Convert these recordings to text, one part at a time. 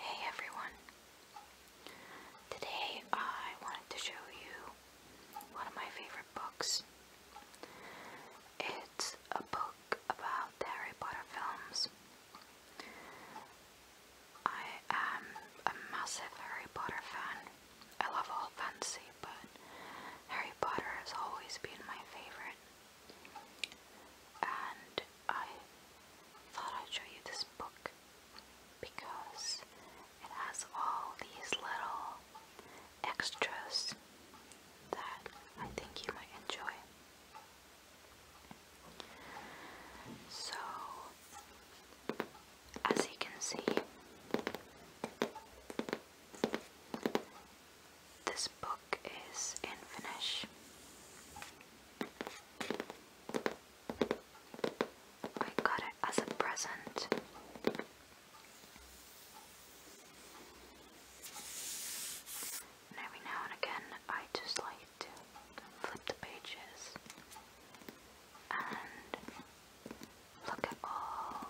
Hey everyone! Today I wanted to show you one of my favorite books. It's a book about Harry Potter films. I am a massive Harry Potter fan. I love all fantasy, but Harry Potter has always been my favorite. And I thought I'd show you this book because it has all these little extras that I think you might enjoy. So, as you can see, this book is in Finnish. I got it as a present. And every now and again, I just like to flip the pages and look at all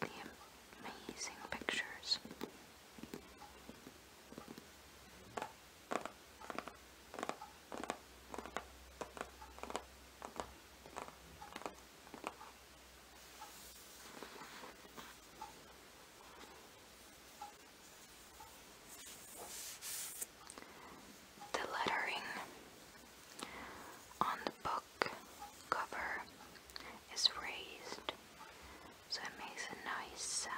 the amazing pictures. The lettering on the book cover is raised so it makes a nice sound.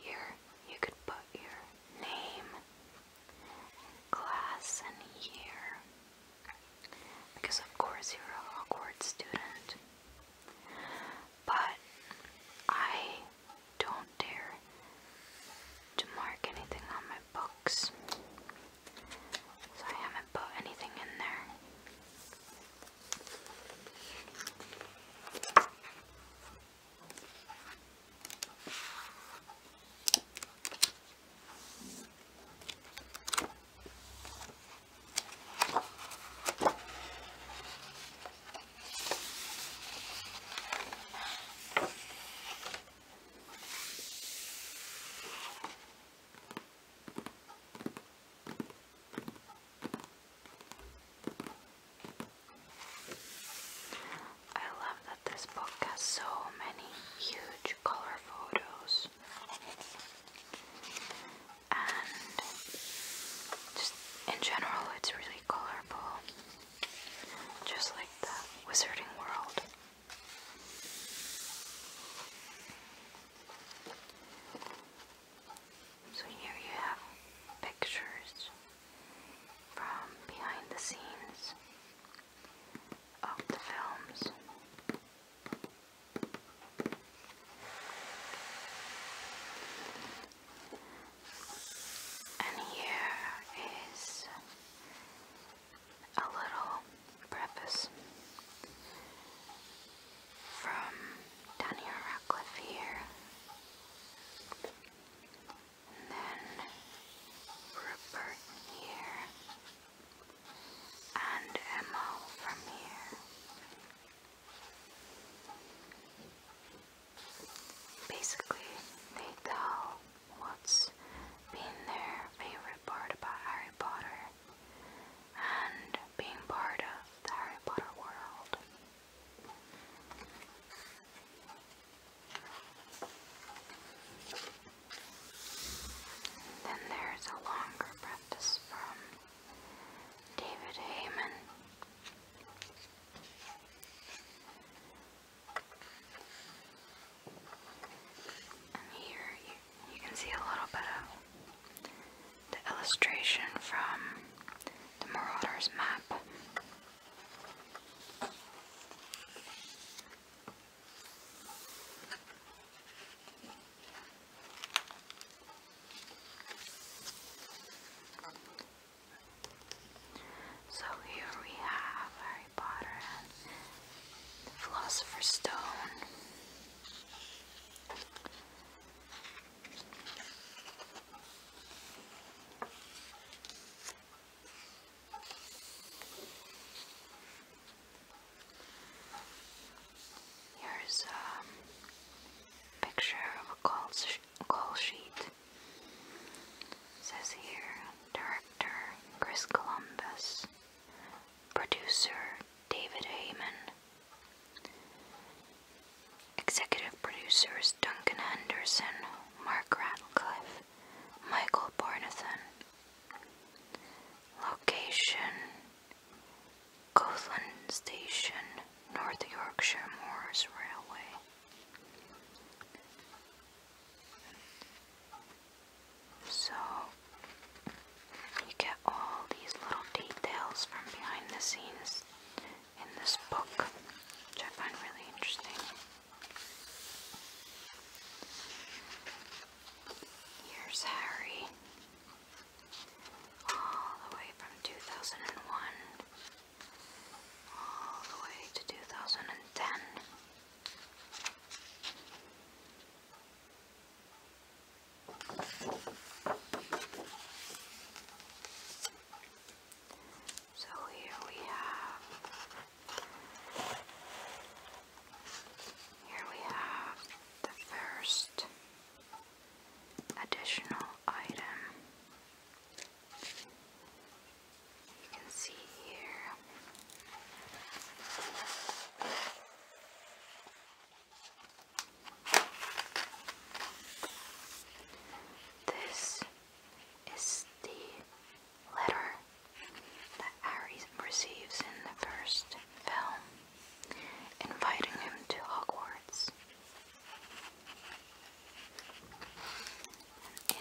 Here you could put your name, class, and year because of course you're an awkward student. But I don't dare to mark anything on my books. So I haven't put anything in there. I love that this book has so many huge color photos and just in general it's really colorful just like the wizarding world so here you have pictures from behind the scenes of the films. And here is a little preface from Daniel Radcliffe here. And then Rupert here and Emma from here. Basically, they tell what's been their favorite part about Harry Potter and being part of the Harry Potter world. Then there's a longer preface from David Heyman. And here you, you can see a little bit of the illustration from the Marauders map. So here we have Harry Potter and the Philosopher's Stone. Here's a picture of a call, sheet. says here, director Chris Columbus, producer David Heyman, executive producers Duncan Henderson, Mark Ratcliffe, Michael Barnathan, Location Gothland Station, North Yorkshire Moors Railway. So you get all these little details from behind the scenes in this book, which I find really interesting. Here's Harry, all the way from 2001, all the way to 2010. So here we have here we have the first additional item. You can see here. This is the letter that Harry receives in the first film, inviting him to Hogwarts.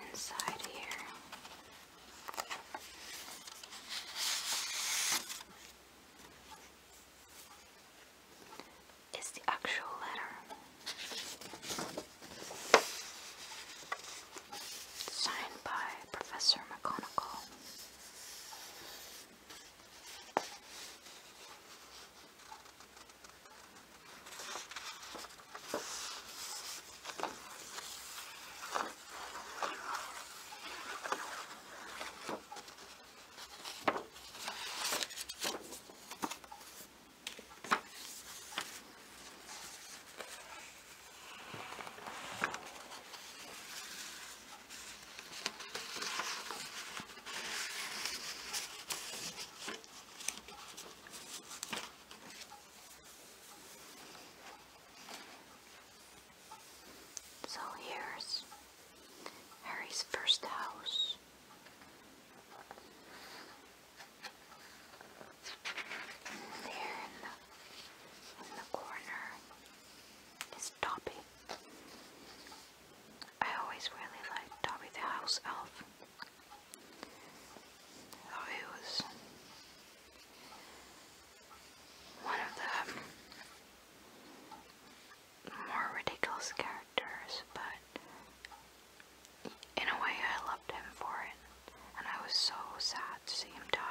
inside here, is the actual letter signed by Professor McConnell. So here's Harry's first house. There in the, in the corner is Dobby. I always really liked Dobby the house elf. Though he was one of the more ridiculous characters, but in a way I loved him for it and I was so sad to see him die.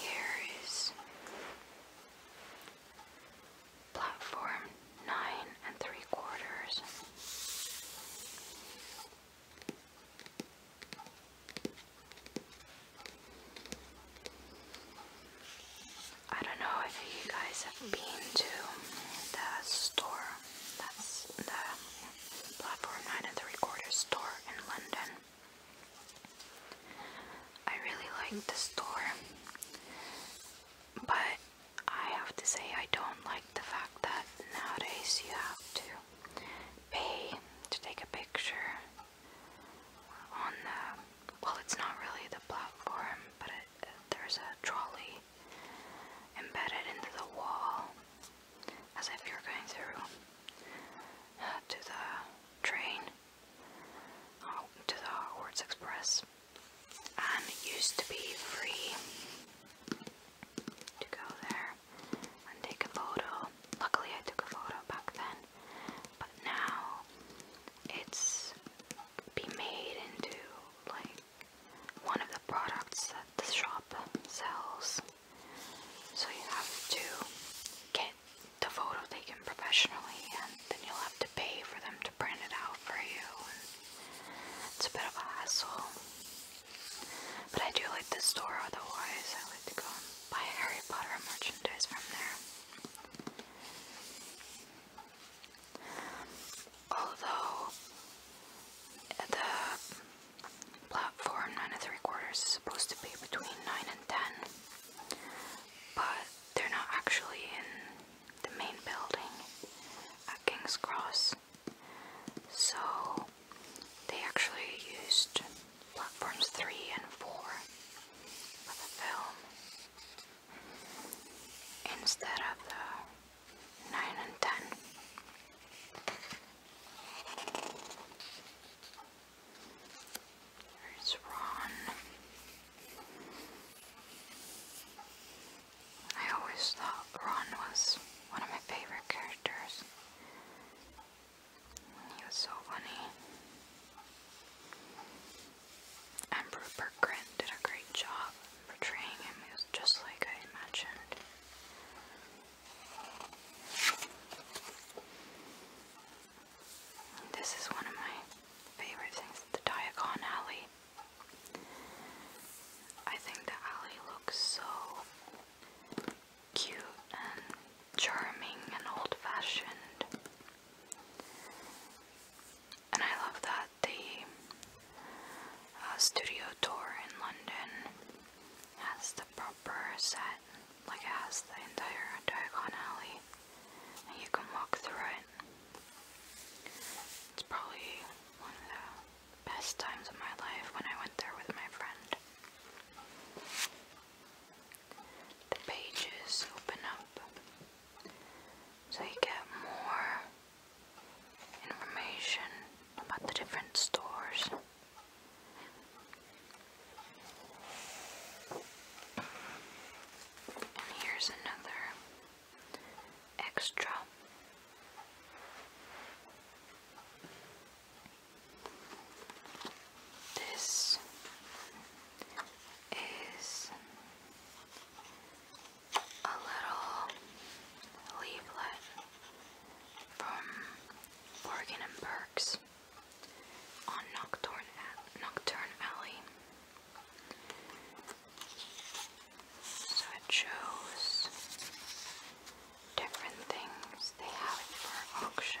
Here is platform nine and three quarters. I don't know if you guys have been to the store, that's the platform 9 and 3 quarter store in London. I really like the store, but I have to say, I don't like the fact that nowadays you have to pay to take a picture on the. Well, it's not really the platform, but there's a trolley embedded into the wall as if you're going through uh, to the train, oh, to the Hogwarts Express, and it used to be free to go there and take a photo. Luckily, I took a photo back then, but now it's be made into like one of the products that the shop sells. So you have to get the photo taken professionally, and then you'll have to pay for them to print it out for you. And it's a bit of a hassle. But I do like the store otherwise. I like to go and buy Harry Potter merchandise from there. Although the platform 9 and 3 quarters is supposed to be between 9 and 10, but they're not actually in the main building at King's Cross. So they actually used platforms 3 and 4 for the film instead of the 9 and 10. There's Ron. I always thought Ron was one of my favorite characters. He was so funny. And Rupert did a great job portraying him. He was just like I imagined. This is one of my favorite things, the Diagon Alley. I think the alley looks so cute and charming and old fashioned. And I love that the uh, studio tour in London has the proper set, like it has the entire Diagon Alley, and you can walk through it. It's probably one of the best times of my life when I went there with my friend. The pages open up so you get more information about the different stores. And here's another extra. This is a little leaflet from Morgan and Burks on Nocturne, Nocturne Alley. So it shows different things. They have for auction.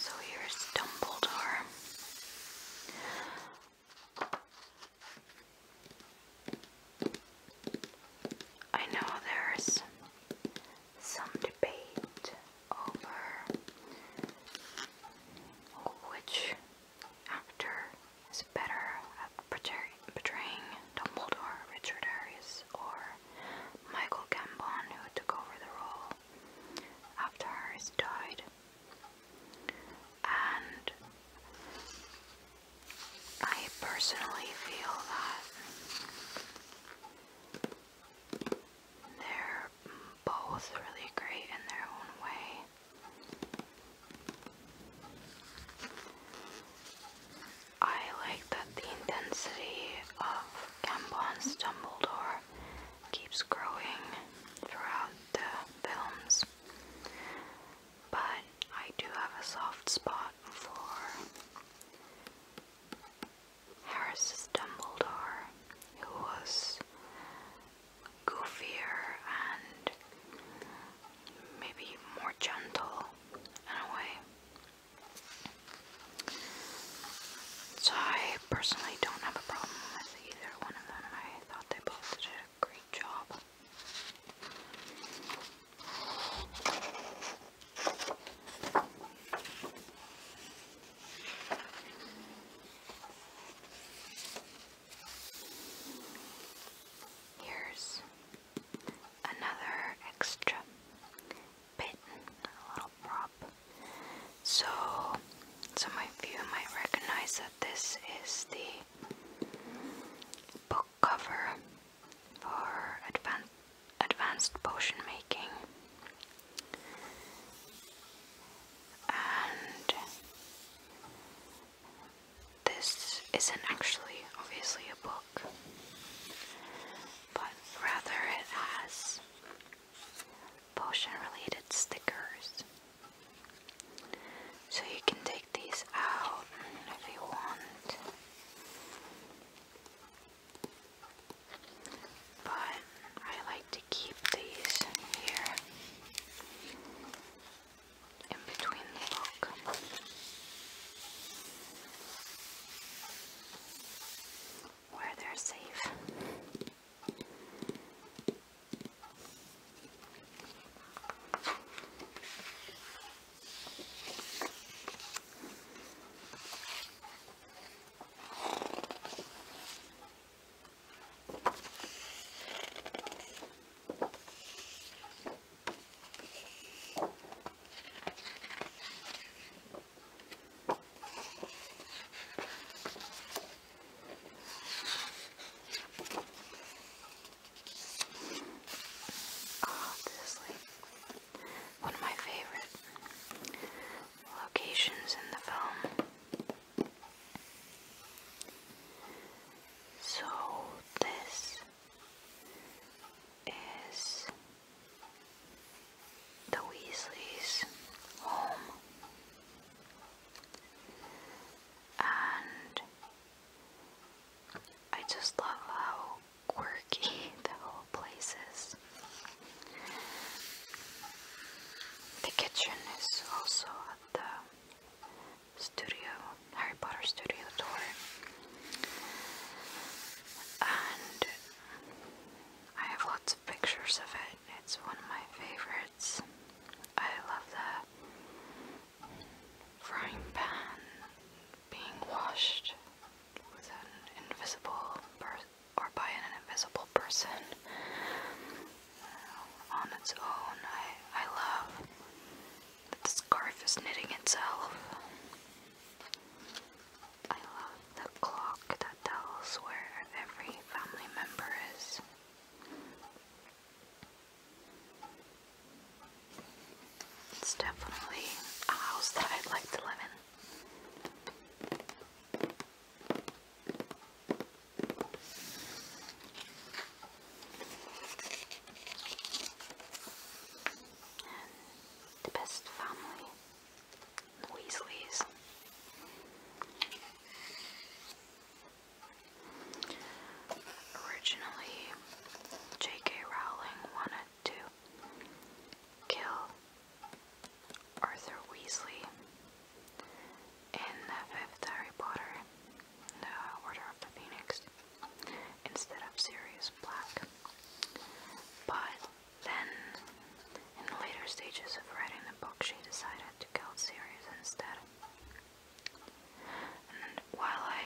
So here's Dumbledore. I know there's some debate over which actor is better portraying Dumbledore, Richard Harris, or Michael Gambon, who took over the role after Harris died. And I personally feel that they're both really great in their own way. I like that the intensity of Gambon's Dumbledore keeps growing throughout the films, but I do have a soft spot for Harris's Dumbledore, who was goofier and maybe more gentle in a way. So I personally don't have a problem with either one of them. I thought they both did a great job. Here's another extra bit, a little prop. So, some of you might recognize that this is the book cover for advanced potion making and this isn't actually, obviously, a book, but rather it has potion related stickers. So you can take these out if you want. But I to keep these here in between the book. Where they're safe. Oh, this lake. One of my favorite locations in the film. So this is the Weasleys' home, and I just love how quirky the whole place is. The kitchen is also at the studio, Harry Potter studio door. And I have lots of pictures of it. It's one of my favorites. I love the frying pan being washed with an invisible or by an invisible person on its own. I, I love that the scarf is knitting itself. I love the clock that tells where every family member is. It's definitely a house that I'd like to live in. And the best family, the Weasleys. Originally, J.K. Rowling wanted to kill Arthur Weasley in the fifth Harry Potter, The Order of the Phoenix, instead of Sirius Black. But then, in later stages of writing the book, she decided to kill Sirius instead. And while I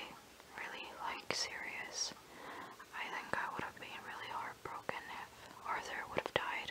really like Sirius, I think I would have been really heartbroken if Arthur would have died.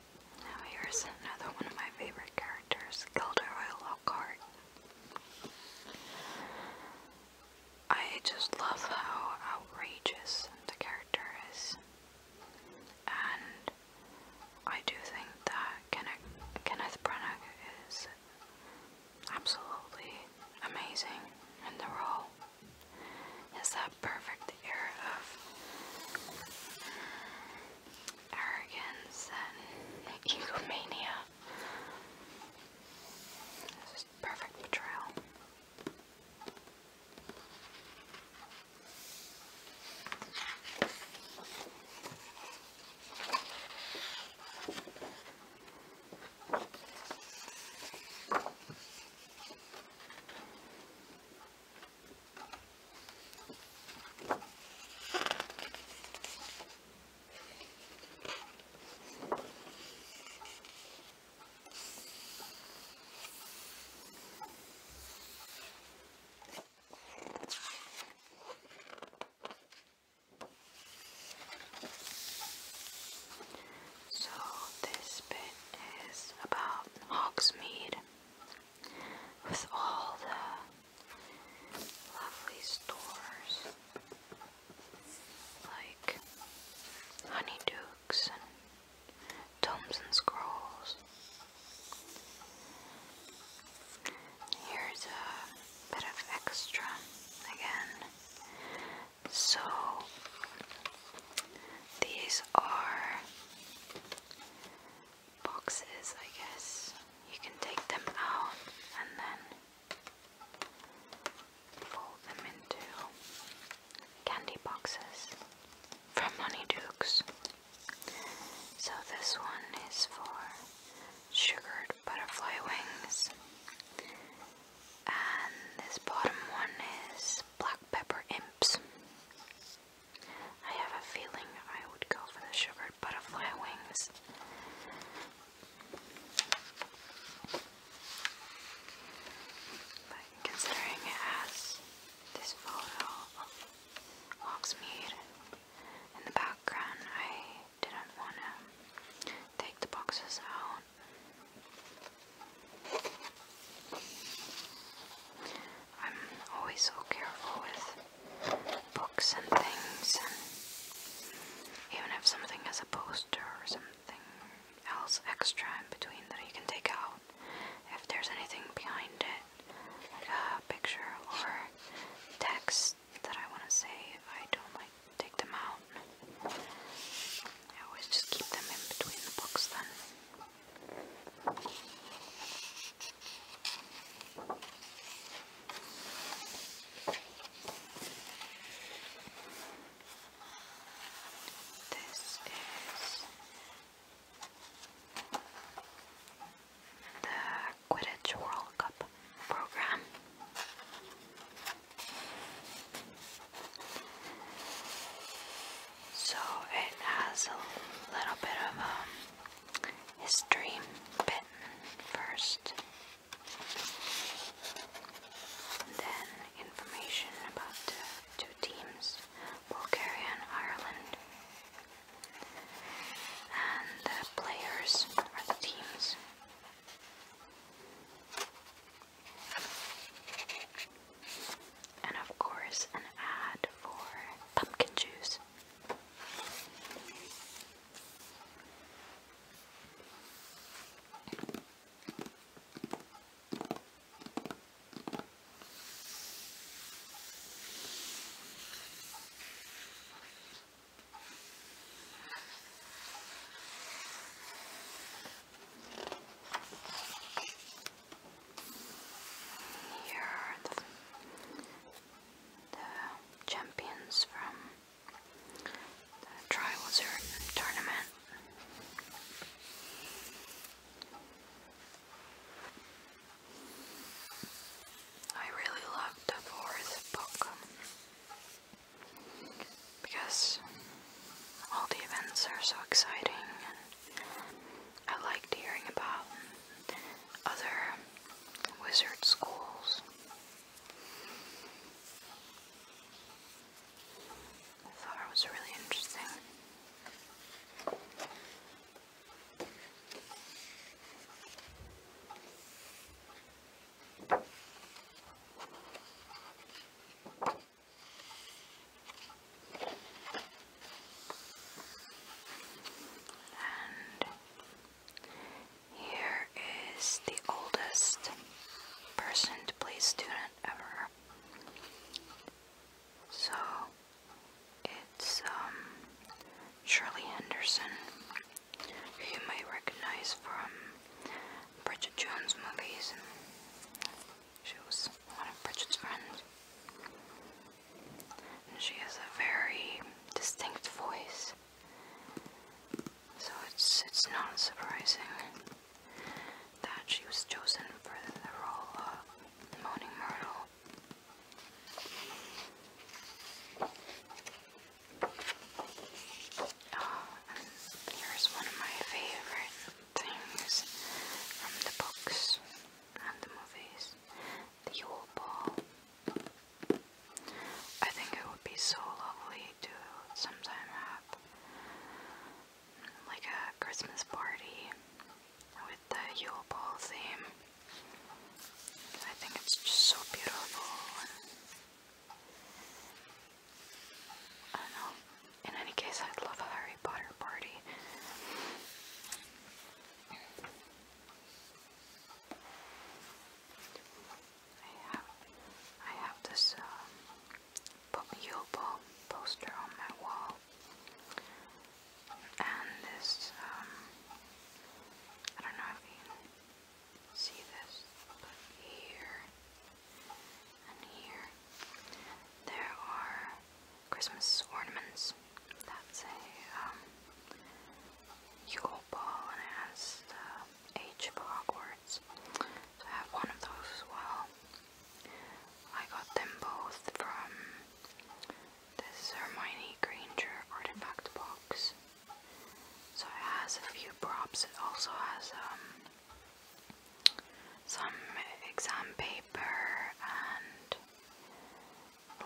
Now here's another one of my favorite characters, Gilderoy Lockhart. I just love how outrageous the character is. And I do think that Kenneth, Kenneth Branagh is absolutely amazing in the role is that perfect air of arrogance and egomania. This is perfect portrayal. So this bit is about Hogsmeade with all the lovely stores like Honeydukes and Tomes and Scrolls. Here's a bit of extra again. So these are boxes, I guess. You can take them out and then fold them into candy boxes from Honeydukes. So this one is for sugared butterfly wings. And this bottom one is black pepper imps. I have a feeling I would go for the sugar butterfly wings. But considering it this photo of Hogsmeade in the background, I didn't want to take the boxes out. I'm always so careful with books and things, and even if something has a poster or something else extra in between that you can take out, if there's anything behind it, like a picture or text that I want to say, I don't like take them out. I always just keep them in between the books then. This is the Quidditch World Cup program. So it has a little bit of a um, history bit first. Then information about the two teams, Bulgaria and Ireland. And the players are the teams. And of course, an ad for pumpkin juice. Here are the, champions from the Trial Wizard tournament. I really love the fourth book because all the events are so exciting I liked hearing about other wizard schools. I thought it was really interesting. And here is the oldest person to play student ever. So it's um, Shirley Henderson, you might recognize from Bridget Jones movies. She was one of Bridget's friends. And she has a very distinct voice. So it's it's not surprising that she was chosen for the role of the Moaning mortal. Oh, here's one of my favorite things from the books and the movies, the Yule Ball. I think it would be so lovely to sometime have like a Christmas party with the Yule Ball theme. I think it's just so beautiful. I know. In any case, I'd love a Harry Potter party. I have, I have this um, Yobo poster on my wall, and this, um, I don't know if you see this, here and here, there are Christmas ornaments. That's a um, ball and it has the H for Hogwarts. So I have one of those well. I got them both from this Hermione Granger artifact box. So it has a few props. It also has um, some exam paper and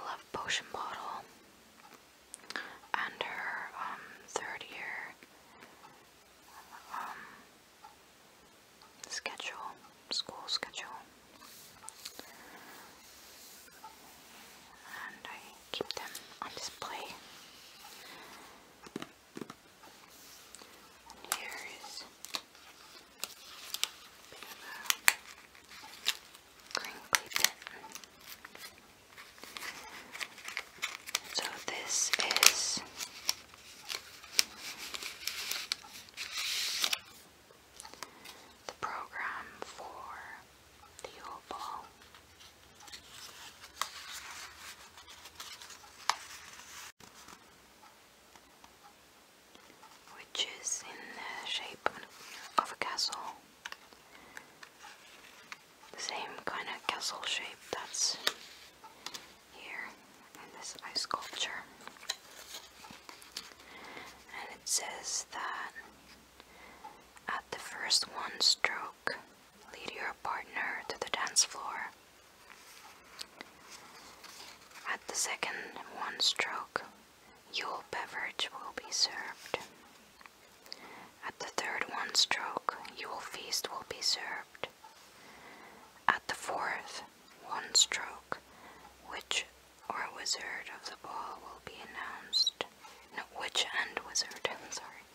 love potion bottle and her um, third year um, schedule, school schedule. And I keep them on display. here is bit of So this is the program for the opal which is in the shape of a castle. The same kind of castle shape that's here in this ice sculpture. And it says that at the first one stroke, lead your partner to the dance floor at the second one stroke, your beverage will be served. At the third one stroke, your feast will be served. At the fourth one stroke, which or wizard of the ball will be announced. No, witch and wizard, sorry.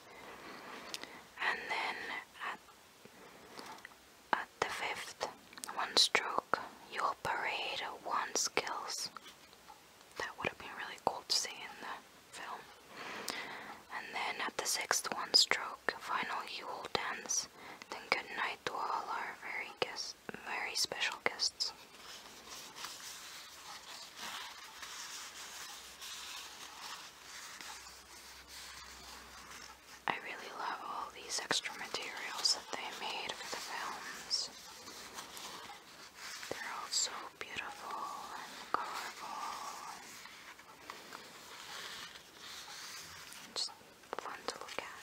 And then at, the fifth, one stroke, you'll parade one skills. That would have been really cool to see in the film. And then at the sixth one stroke, final you will dance, then good night to all our very guests, very special guests. I really love all these extra materials that they made for the films. They're all so beautiful and colorful. And just fun to look at.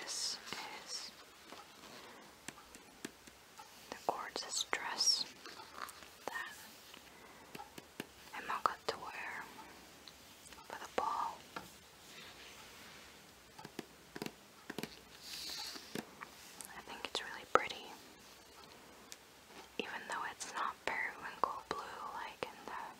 This is the gorgeous dress that Emma got to wear for the ball. I think it's really pretty, even though it's not periwinkle blue like in the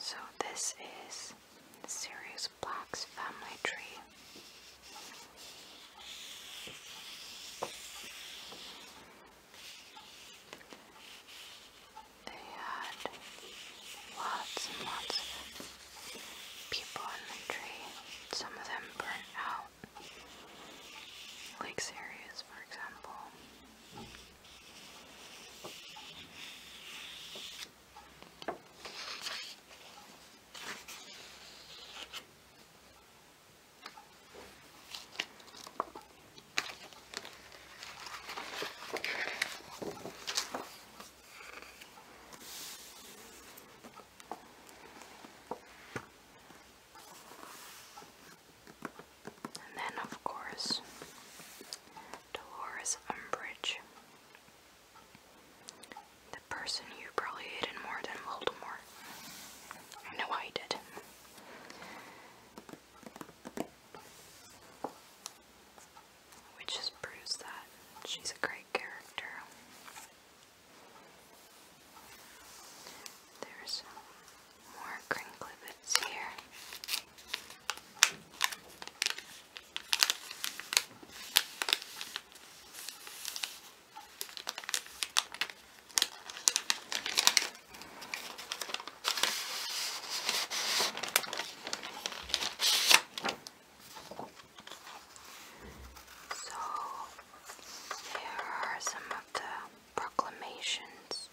So this is Sirius Black's family tree they had lots and lots of people on the tree. Some of them burnt out. Lake Sirius, for example. And then, of course, Dolores Umbridge. The person you probably hated more than Voldemort. I know I did which just proves that she's a great character. There's more Kringlevitz here. So, here are some of the proclamations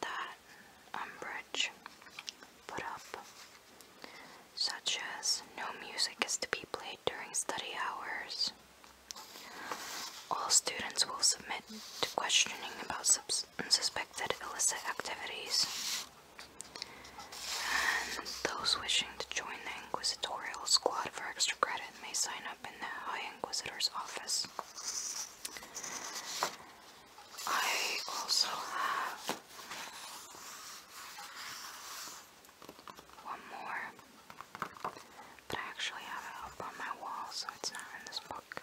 that Umbridge put up, such as no music is to be played during study hours. All students will submit to questioning about subs unsuspected illicit activities. And those wishing to join the inquisitorial squad for extra credit may sign up in the High Inquisitor's office. I also have one more, but I actually have it up on my wall, so it's not in this book.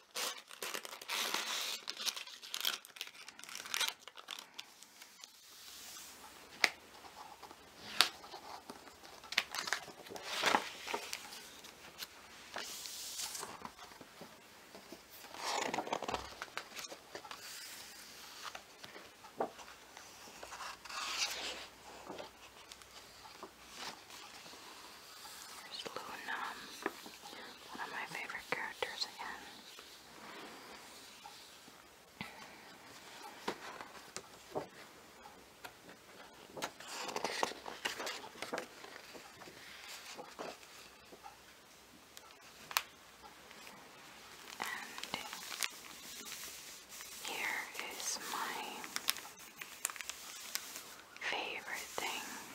There's Luna. One of my favorite characters again. And here is my favorite thing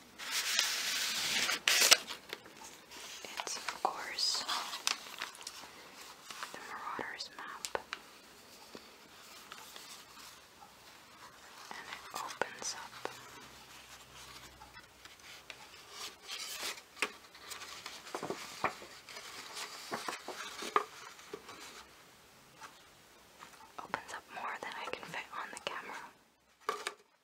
It's of course the Marauders map. And it opens up opens up more than I can fit on the camera.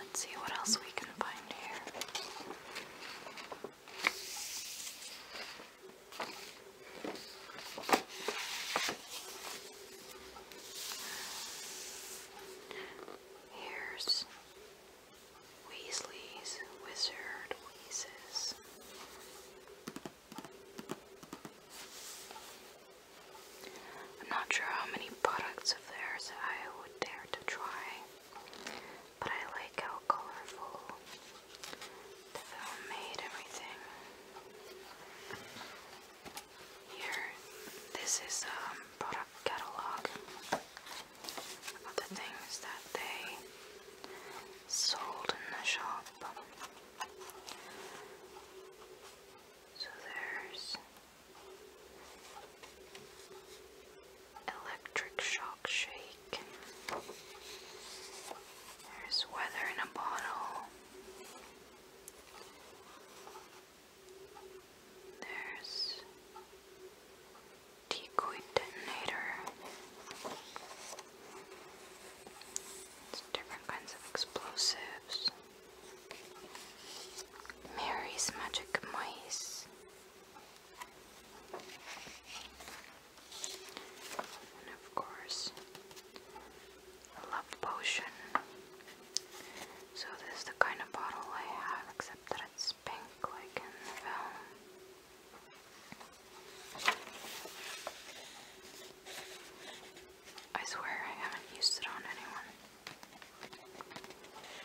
Let's see what else we can find here. Here's Weasley's Wizard Wheezes. I'm not sure how many products of theirs I would dare to try but I like how colorful the film made everything. Here, this is a um, product catalog of the things that they sold in the shop. So there's Electric shock shake. There's weather in a bottle. There's decoy detonator. different kinds of explosives. Mary's magic mice. And of course, love potion. So this is the kind of bottle I have, except that it's pink like in the film. I swear I haven't used it on anyone.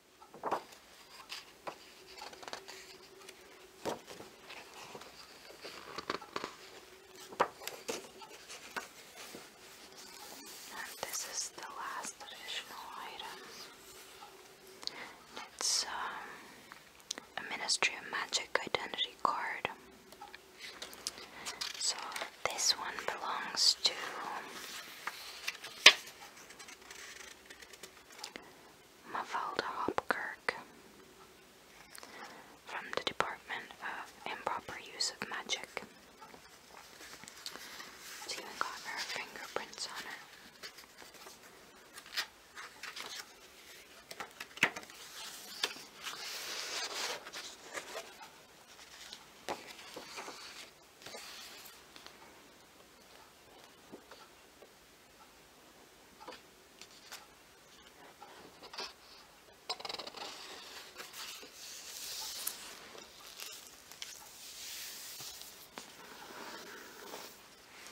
And this is the last traditional item. It's um, a Ministry of Magic identity card. So this one belongs to Mafalda Hopkirk from the Department of Improper Use of Magic. It's even got her fingerprints on it.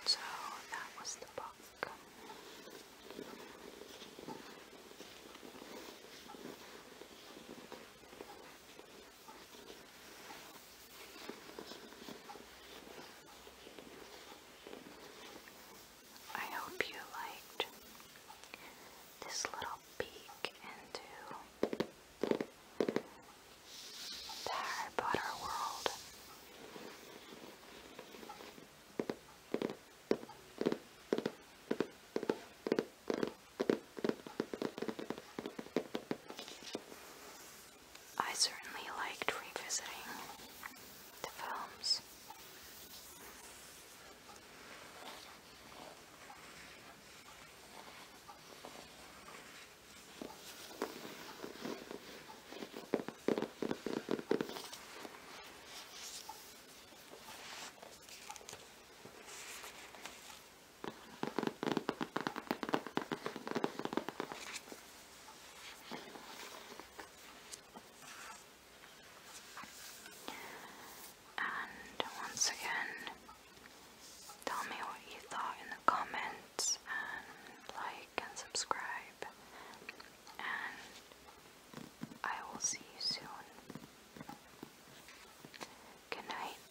So that was the book. I hope you liked this little peek into the Harry world. I certainly liked revisiting the films. And once again, tell me what you thought in the comments, and like and subscribe, and I will see you soon. Good night.